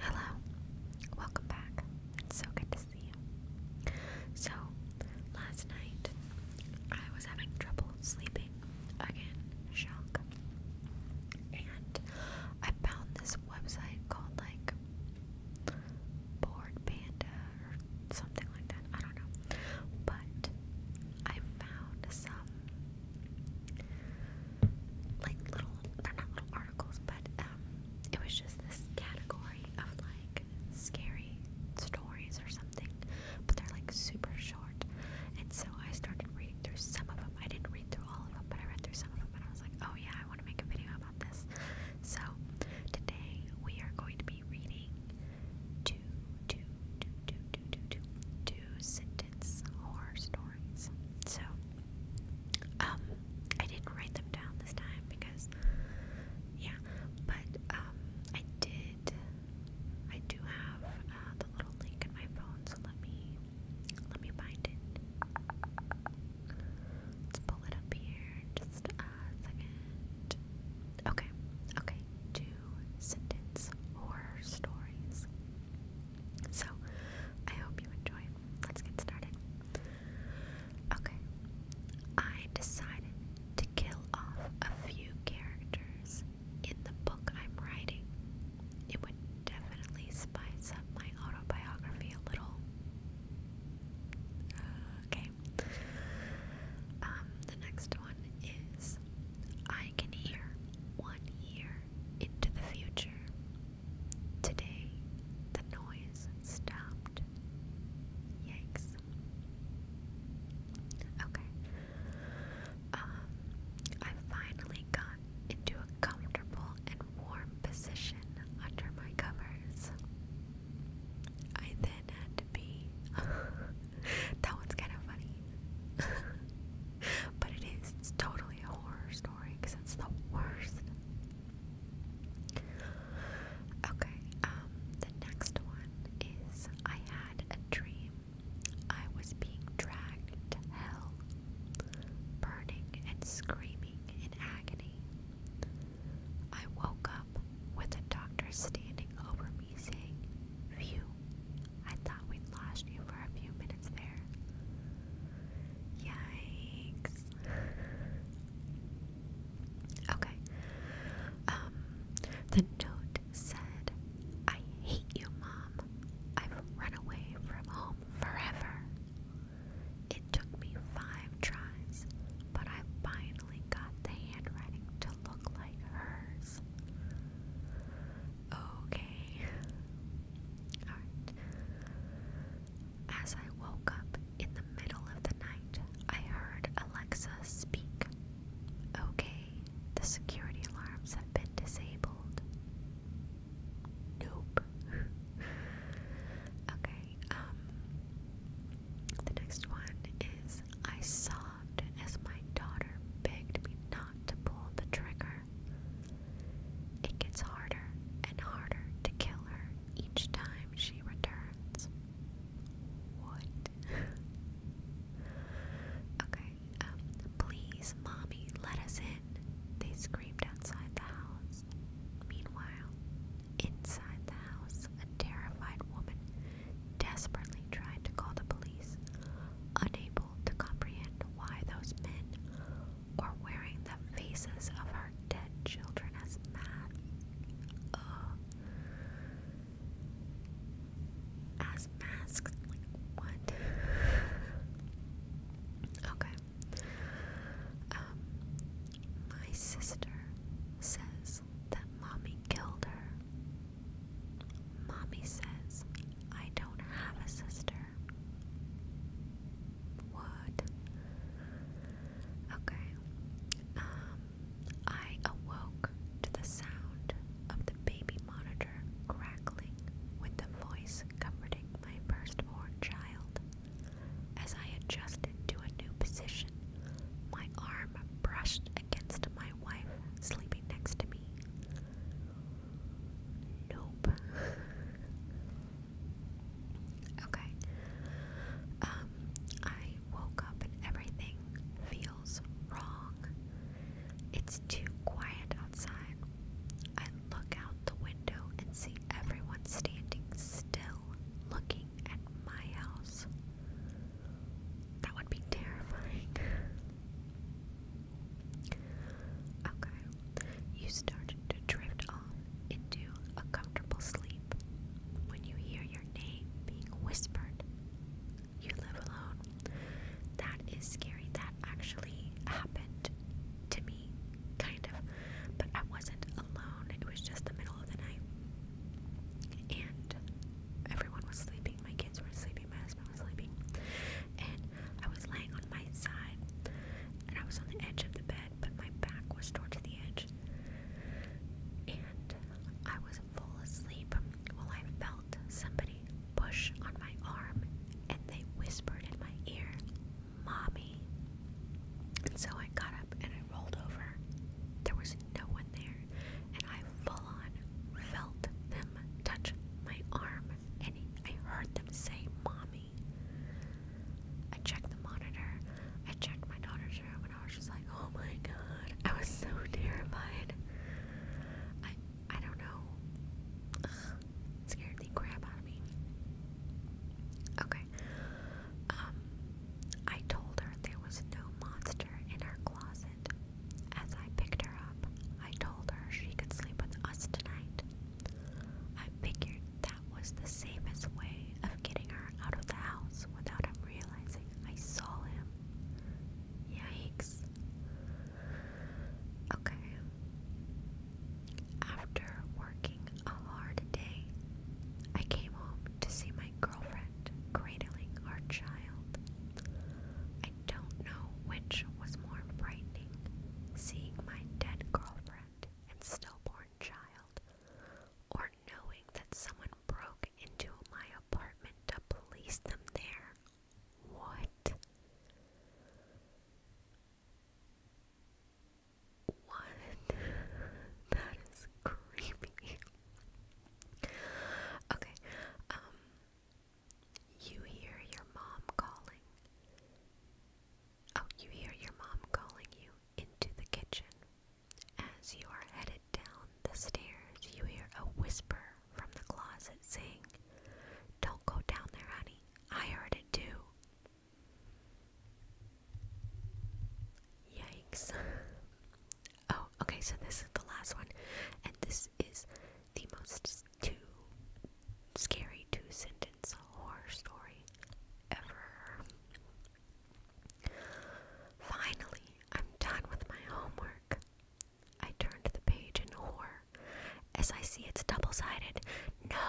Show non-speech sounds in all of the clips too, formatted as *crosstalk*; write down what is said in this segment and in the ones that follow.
Hello, welcome back. It's so good to see you. So, last night I was having trouble sleeping again, shock. And I found this website called like Board Panda or something like that. I don't know. But I found some like little they're not little articles, but um it was just this category of like scary stories or something, but they're like super short. And so I started reading through some of them. I didn't read through all of them, but I read through some of them and I was like, oh yeah, I want to make a video about this. So today we are going to be reading two, two, two, two, two, two, two, two two sentence horror stories. So, um, I didn't write them down this time because, yeah, but, um, I did, I do have uh, the little link in my phone, so let me, let me find it. Let's pull it up here, just a second. Okay, okay, two sentence horror stories. So, I hope you enjoy. Let's get started. Okay, I decided to kill off a few characters in the book I'm writing. It would definitely spice up my autobiography a little. Okay. Um, the next one is I I can hear one year into the future. Today, the noise stopped. Yikes. Okay. Um, I finally got into a comfortable and warm position under my covers. I then had to be. *laughs* that one's kind of funny. *laughs* *laughs* but it is. It's totally a horror story because it's the worst. Okay, um, the next one is I had a dream. I was being dragged to hell, burning and screaming in agony. I woke up with a doctor standing over me saying, Phew, I thought we'd lost you for a few minutes there. Yikes. Okay. Um, the note said, I hate you, Mom. I've run away from home forever. It took me five tries, but I finally got the handwriting to look like hers. Okay. Alright. As I woke up in the middle of the night, I heard Alexa speak. Okay, the security alarms have been disabled. Nope. *laughs* okay, um, the next one is I saw as my daughter begged me not to pull the trigger. It gets harder and harder to kill her each time she returns. What? *laughs* okay, um, please, mommy, let us in, they screamed outside the house. Meanwhile, inside the house, a terrified woman desperately tried to call the police, unable to comprehend why those men are wearing the faces of our dead children as masks. Uh, as masks, what? okay. Um, my sister says that mommy killed her Mommy says I don't have a sister. What? Okay. Um, I awoke to the sound of the baby monitor crackling with the voice comforting my firstborn child. As I adjusted to a new position, my arm brushed against my wife sleeping next to me. Nope. *laughs* okay. Um, I woke up and everything feels wrong. It's too quiet outside. I look out the window and see everyone standing still looking at my house. That would be terrifying. *laughs* Okay, you start to drift off into a comfortable sleep when you hear your name being whispered. You live alone. That is scary. That actually happened to me, kind of, but I wasn't alone. It was just the middle of the night. And everyone was sleeping my kids were sleeping, my husband was sleeping, and I was laying on my side, and I was on the edge of the bed, but my back was towards the edge, and I was full asleep. While I felt somebody push on my arm, and they whispered in my ear, "Mommy." And so I got up and I rolled over. There was no one there and I full on felt them touch my arm, and I heard them say, Mommy. I checked the monitor, I checked my daughter's room, and I was just like, Oh my god, I was so *laughs* terrified. I, I don't know. scared the crap out of me. Okay. Um, I told her there was no monster in her closet. As I picked her up, I told her she could sleep with us tonight. I figured that was the safest way of getting her out of the house without him realizing I saw him. Yikes. Okay. After working a hard day, I came home to see my girlfriend cradling our child. I don't know which was more frightening seeing my dead girlfriend and stillborn child, or knowing that someone broke into my apartment to police them there. What? What? *laughs* that is creepy. Okay, um, you hear your mom calling. Oh, you hear your mom calling you into the kitchen. As you are headed down the stairs, you hear a whisper from the closet saying, Don't go down there, honey. I heard it too. Yikes. *laughs* Oh, okay, so this is the last one. And this is the most two scary two sentence horror story ever. Finally, I'm done with my homework. I turn the page in horror as I see it's double sided. No! *laughs*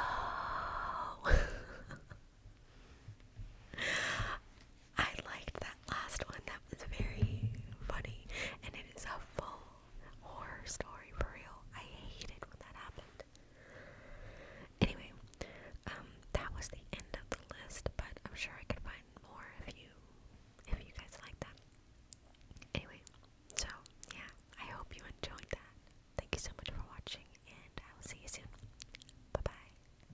I liked that last one. That was very funny. And it is a full horror story for real. I hated when that happened. Anyway, um, that was the end of the list, but I'm sure I could find more if you if you guys like that. Anyway, so yeah, I hope you enjoyed that. Thank you so much for watching and I will see you soon. Bye bye.